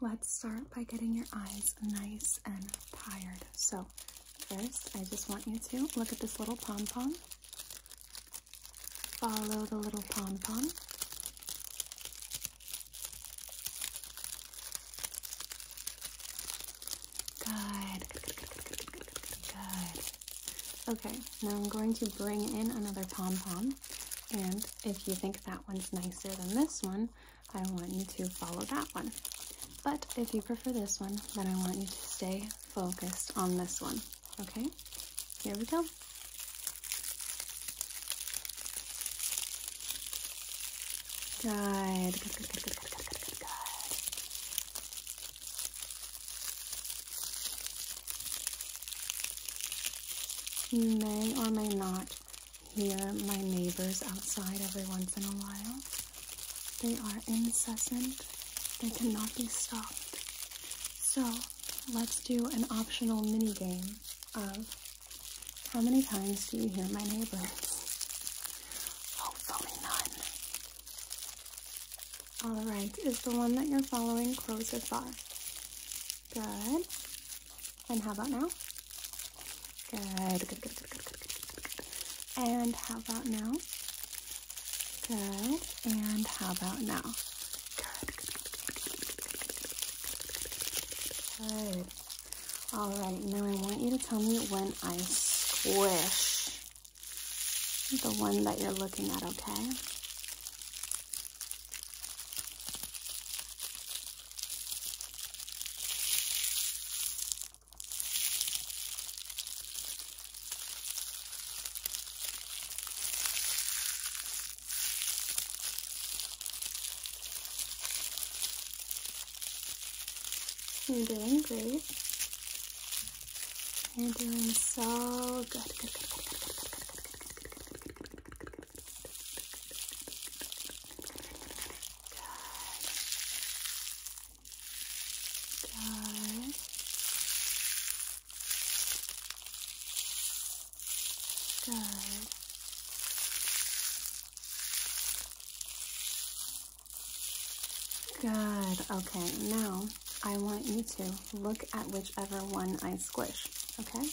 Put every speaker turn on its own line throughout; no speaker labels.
Let's start by getting your eyes nice and tired. So, first, I just want you to look at this little pom pom. Follow the little pom pom. Good. Good, Okay, now I'm going to bring in another pom pom. And if you think that one's nicer than this one, I want you to follow that one. But if you prefer this one, then I want you to stay focused on this one. Okay? Here we go. Good. You may or may not hear my neighbors outside every once in a while. They are incessant, they cannot be stopped. So, let's do an optional mini game of how many times do you hear my neighbors? Hopefully none. Alright, is the one that you're following close or far? Good. And how about now? Good, And how about now? Good. And how about now? Good, good, good, good, good, good, good, good. All right, now I want you to tell me when I squish the one that you're looking at, okay? You're doing great. You're doing so good. Good, good, good, good, good, good, good, good, good, good, good, good, good, good, Good. Good. Good. Good. Okay, now I want you to look at whichever one I squish, okay?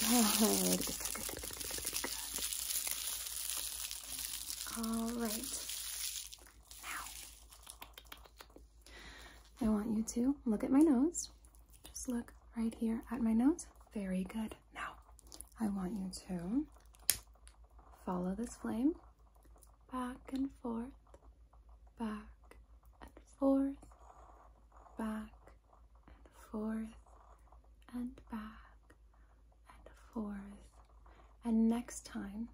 Good. Good, good, good, good, good, good, good. All right. Now, I want you to look at my nose. Just look right here at my nose. Very good. Now, I want you to follow this flame back and forth, back and forth, back and forth and back and forth. And next time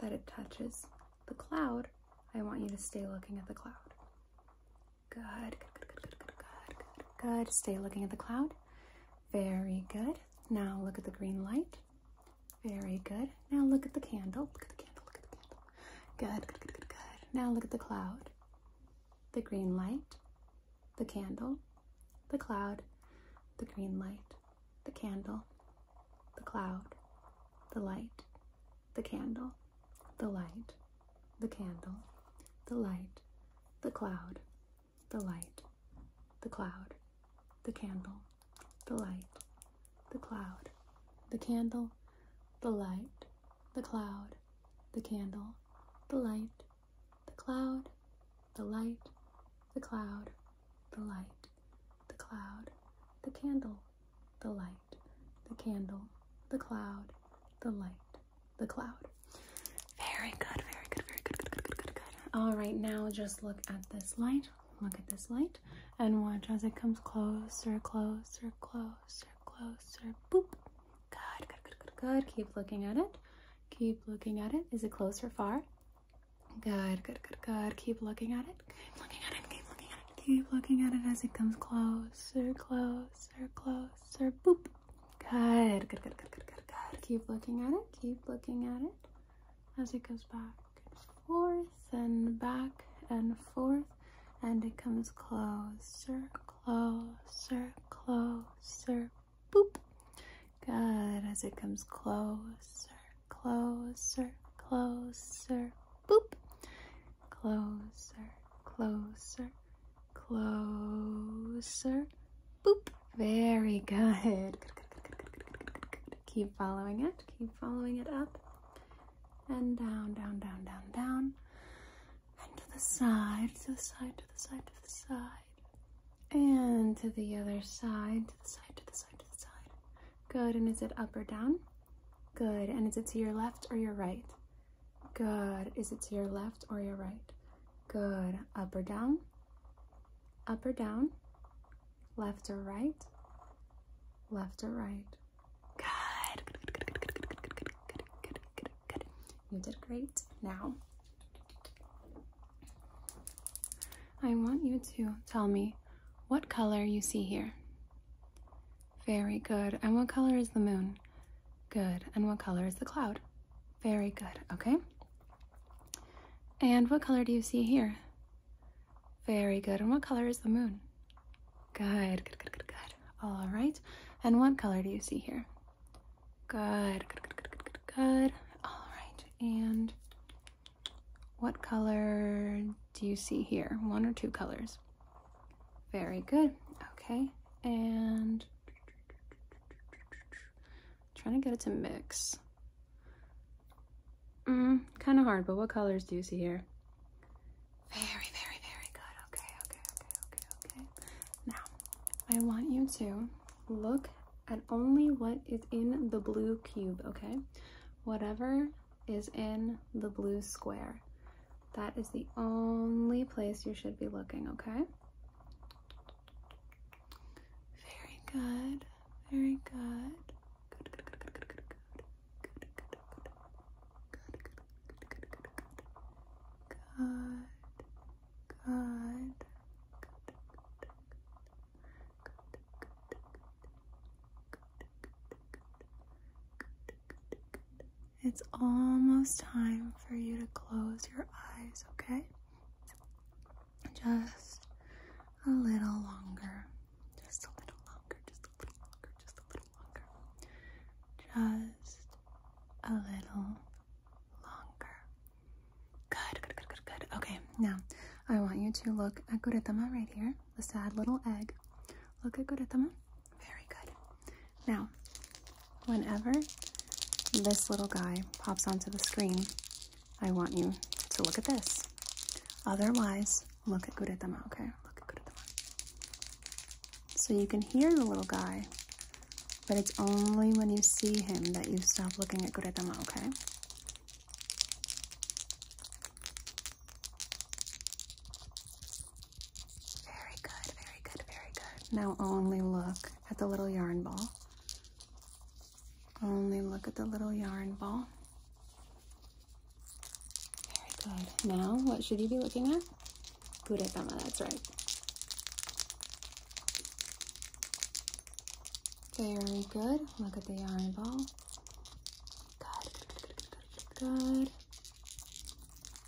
that it touches the cloud, I want you to stay looking at the cloud. Good, good, good, good, good, good, good, good. Stay looking at the cloud. Very good. Now look at the green light. Very good. Now look at the candle. Look at the candle. Look at the candle. Good, good, good, good, good. Now look at the cloud the green light, the candle, the cloud, the green light, the candle, the cloud, the light, the candle, the light, the candle, the light, the cloud, the light, the cloud, the candle, the light, the cloud, the candle, the light, the cloud, the candle, the light, the cloud, the light, the cloud, the light, the cloud, the candle, the light, the candle, the cloud, the light, the cloud. Very good, very good, very good, good, good, good, good, good. All right, now just look at this light. Look at this light and watch as it comes closer, closer, closer, closer. Boop. Good, good, good, good, good. Keep looking at it. Keep looking at it. Is it close or far? Good, good, good, good. Keep looking at it. Keep looking at it. Keep looking at it. as it comes closer, closer, closer. Boop. Good, good, good, good, good, good, good. Keep looking at it. Keep looking at it as it goes back and forth and back and forth and it comes closer, closer, closer. Boop. Good. As it comes closer, closer, closer. Boop. Closer, closer, closer. Boop. Very good. good. Keep following it. Keep following it up and down, down, down, down, down and to the side, to the side, to the side, to the side, and to the other side, to the side, to the side, to the side. Good, and is it up or down? Good, and is it to your left or your right? Good, is it to your left or your right? Good, up or down? Up or down? Left or right? Left or right? Good. You did great. Now, I want you to tell me what color you see here. Very good. And what color is the moon? Good. And what color is the cloud? Very good. Okay. And what color do you see here? Very good. And what color is the moon? Good, good, good, good, good. All right. And what color do you see here? Good, good, good, good, good, good, All right. And what color do you see here? One or two colors? Very good. Okay. And trying to get it to mix. Mm, kind of hard, but what colors do you see here? Very, very, very good. Okay, okay, okay, okay, okay. Now, I want you to look at only what is in the blue cube, okay? Whatever is in the blue square. That is the only place you should be looking, okay? Very good. Very good. Good, good, good, good, good, good, good. It's almost time for you to close your eyes, okay? Just a little longer. Just a little longer. Just a little longer. Just a little just a little longer. Good, good, good, good, good. Okay, now I want you to look at Guretama right here, the sad little egg. Look at Guretama. Very good. Now, whenever this little guy pops onto the screen, I want you to look at this. Otherwise, look at Guretama, okay? Look at Guretama. So you can hear the little guy, but it's only when you see him that you stop looking at Guretama, okay? Very good, very good, very good. Now only look at the little yarn ball. Only look at the little yarn ball. Very good. Now, what should you be looking at? Kuretama, that's right. Very good. Look at the yarn ball. Good, good, good, good, good,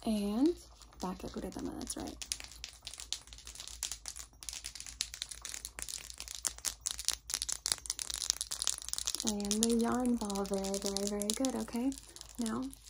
And back at Kuretama, that's right. And the yarn ball, very, very, very good, okay? Now,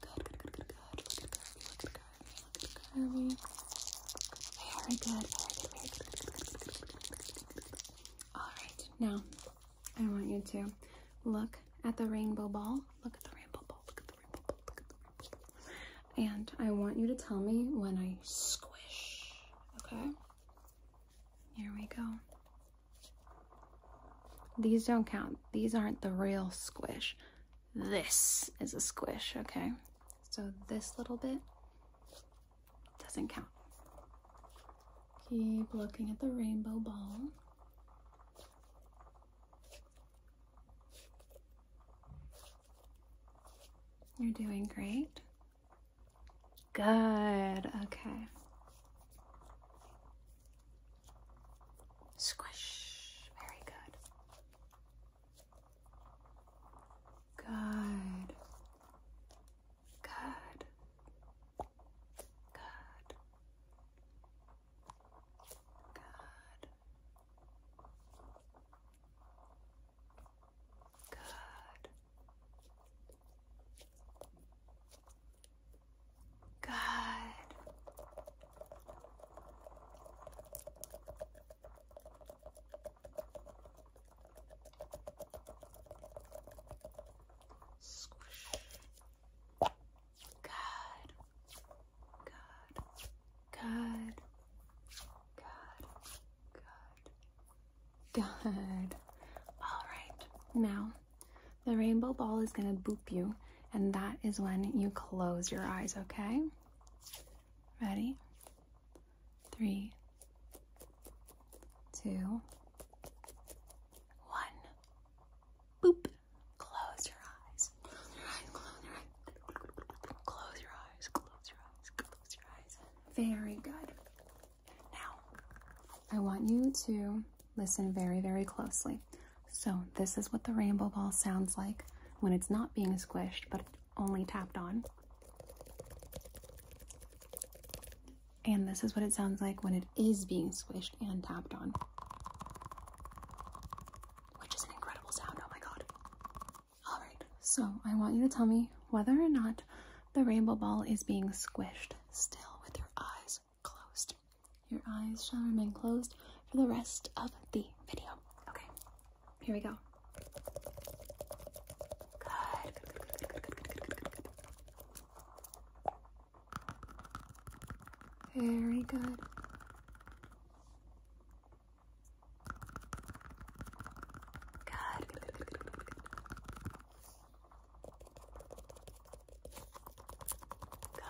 Good, Look at curvy, look at curvy, look at curvy. Very good, All right, now I want you to Look at the rainbow ball, look at the rainbow ball, look at the rainbow ball. And I want you to tell me when I squish, okay? Here we go. These don't count. These aren't the real squish. This is a squish, okay? So this little bit doesn't count. Keep looking at the rainbow ball. You're doing great. Good, okay. Squish. Very good. Good. Good. Good. Good. Good. Good. Squish. Good. Good. Good. Good. Good. All right. Now the rainbow ball is going to boop you, and that is when you close your eyes, okay? Ready? Three, two, one. Boop. Close your eyes. Close your eyes. Very good. Now, I want you to Listen very, very closely. So, this is what the rainbow ball sounds like when it's not being squished but only tapped on. And this is what it sounds like when it is being squished and tapped on. Which is an incredible sound, oh my god. Alright, so I want you to tell me whether or not the rainbow ball is being squished still with your eyes closed. Your eyes shall remain closed for the rest of the video. Okay, here we go. Good, Very good, good. Good.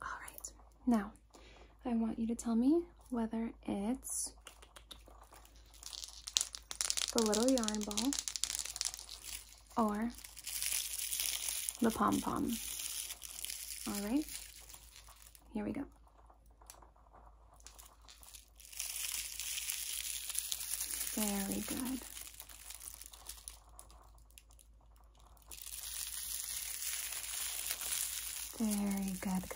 All right. Now, I want you to tell me whether it's the little yarn ball or the pom pom. All right. Here we go. Very good. Very good.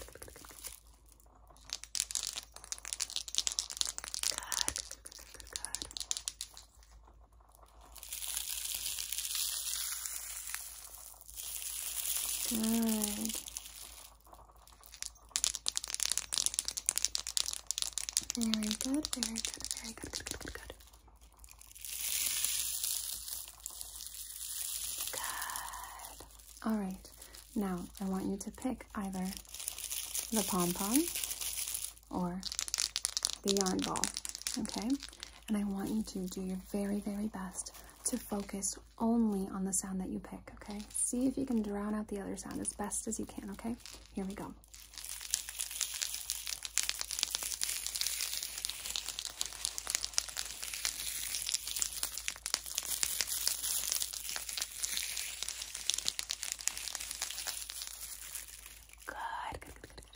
Good. good, good, good, good, very good, very good, very good, good, good, good, good. Good. All right. Now, I want you to pick either the pom-pom or the yarn ball, okay? And I want you to do your very, very best to focus only on the sound that you pick, okay? See if you can drown out the other sound as best as you can, okay? Here we go. Good, good, good,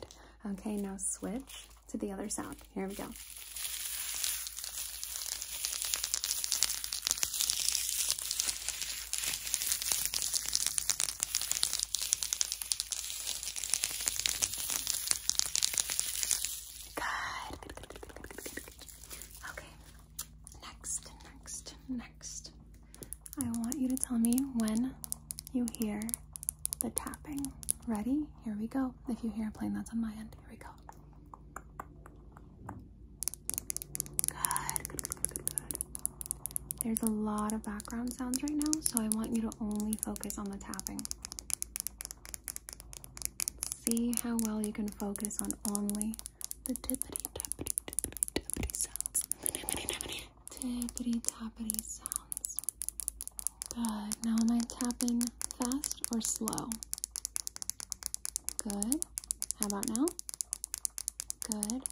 good, Okay, now switch to the other sound. Here we go. Okay. Next, next, next. I want you to tell me when you hear the tapping. Ready? Here we go. If you hear a plane, that's on my end. Here we go. Good, good, good, good, good. There's a lot of background sounds right now, so I want you to only focus on the tapping. See how well you can focus on only the tippity tappity tippity tappity sounds. The tippity sounds. Good. Now am I tapping fast or slow? Good. How about now? Good.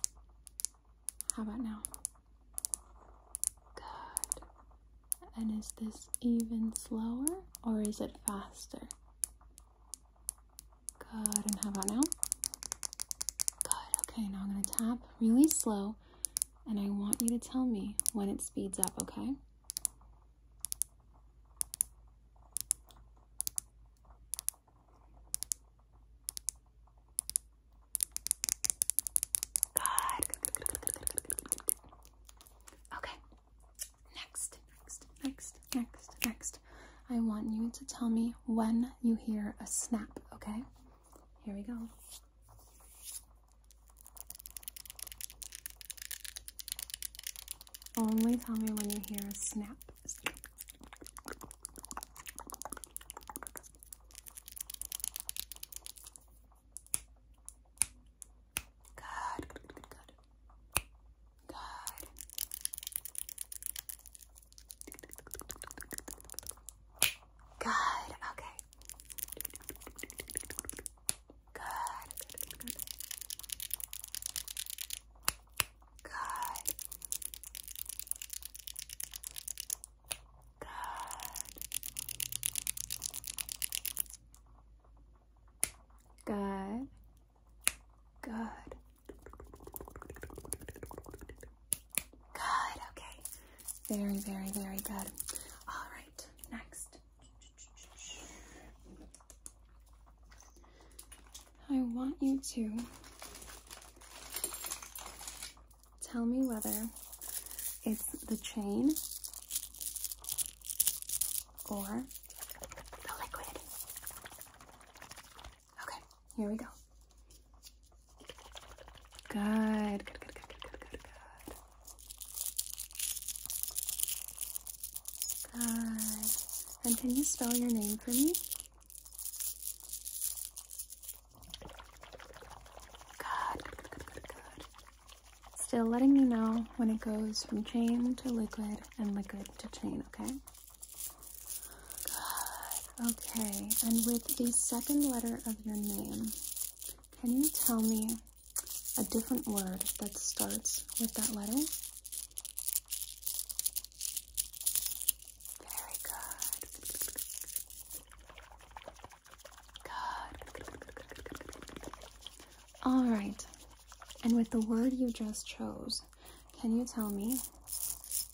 How about now? Good. And is this even slower or is it faster? Good. And how about now? Good. Okay, now I'm going to tap really slow and I want you to tell me when it speeds up, okay? Good. Okay. Next, next, next, next, next. I want you to tell me when you hear a snap, okay? Here we go. Only tell me when you hear a snap. Good, good, good, good, Okay. Good, good, good, good. Good. Good. Good. Okay. Very, very, very good. All right. Next. I want you to tell me whether it's the chain or the liquid. Okay, here we go. Good, Good. And can you spell your name for me? Good, Still letting me know when it goes from chain to liquid and liquid to chain, okay? Okay, and with the second letter of your name, can you tell me a different word that starts with that letter? Very good. Good. All right. And with the word you just chose, can you tell me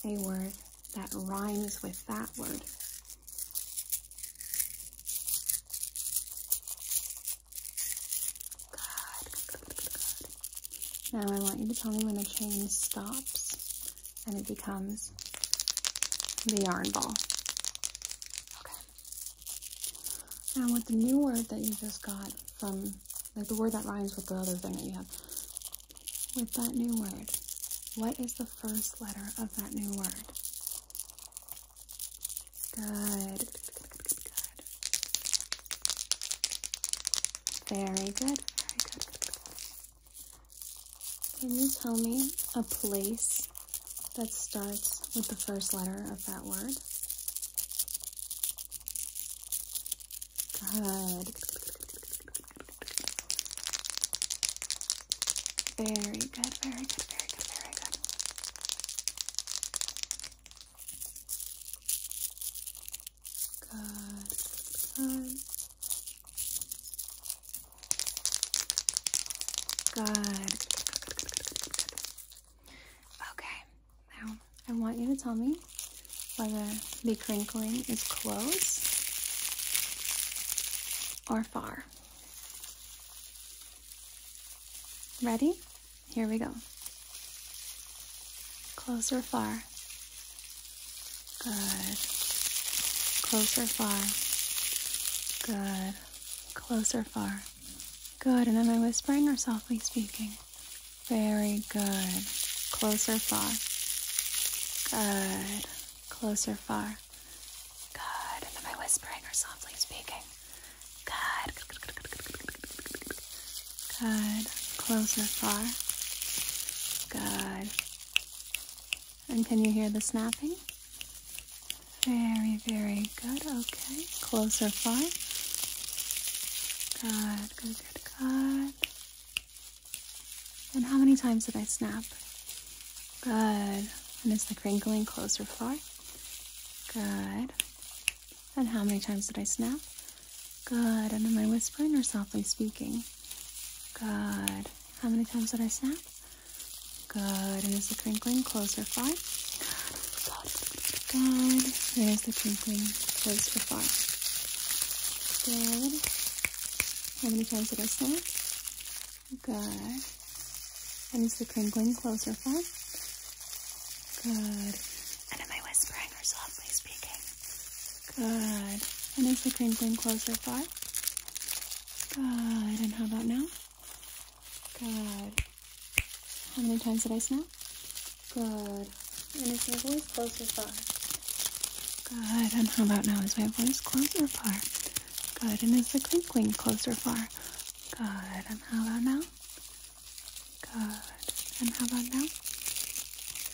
a word that rhymes with that word? Good, Now I want you to tell me when the chain stops and it becomes the yarn ball. Okay. Now with the new word that you just got from, like the word that rhymes with the other thing that you have, with that new word, what is the first letter of that new word? Good. Very good. Very good. Can you tell me a place that starts with the first letter of that word? Good. Very good, very good, very good, very good. Good, good. Good. Okay, now I want you to tell me whether the crinkling is close or far. Ready? Here we go. Closer, far? Good. Closer, far? Good. Close far? Good. And am I whispering or softly speaking? Very good. Closer, far? Good. Closer, far? Good. And am I whispering or softly speaking? Good. Good. Closer far. Good. And can you hear the snapping? Very, very good. Okay. Closer far. Good, good, good, good. And how many times did I snap? Good. And is the crinkling closer far? Good. And how many times did I snap? Good. And am I whispering or softly speaking? Good. How many times did I snap? Good. And is the crinkling closer or far? Good. And is the crinkling closer or far? Good. How many times did I snap? Good. And is the crinkling closer, far? Good. And am I whispering or softly speaking? Good. And is the crinkling closer, far? Good. And how about now? Good. How many times did I snap? Good. And is my voice closer, far? Good. And how about now? Is my voice closer, far? Good. And is the crinkling closer, far? Good. And how about now? Good. And how about now?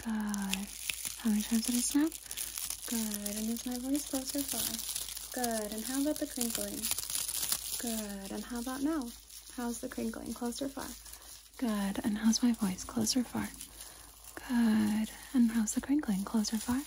Good. How many times did I Good. And is my voice close far? Good. And how about the crinkling? Good. And how about now? How's the crinkling? closer far? Good. And how's my voice? Close or far? Good. And how's the crinkling? closer far?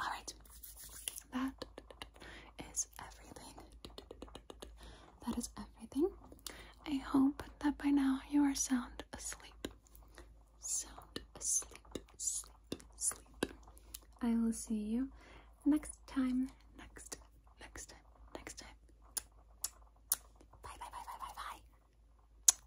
All right, that is everything. That is everything. I hope that by now you are sound asleep. Sound asleep, sleep, sleep. I will see you next time. Next, next time, next time. Bye, bye, bye, bye, bye, bye.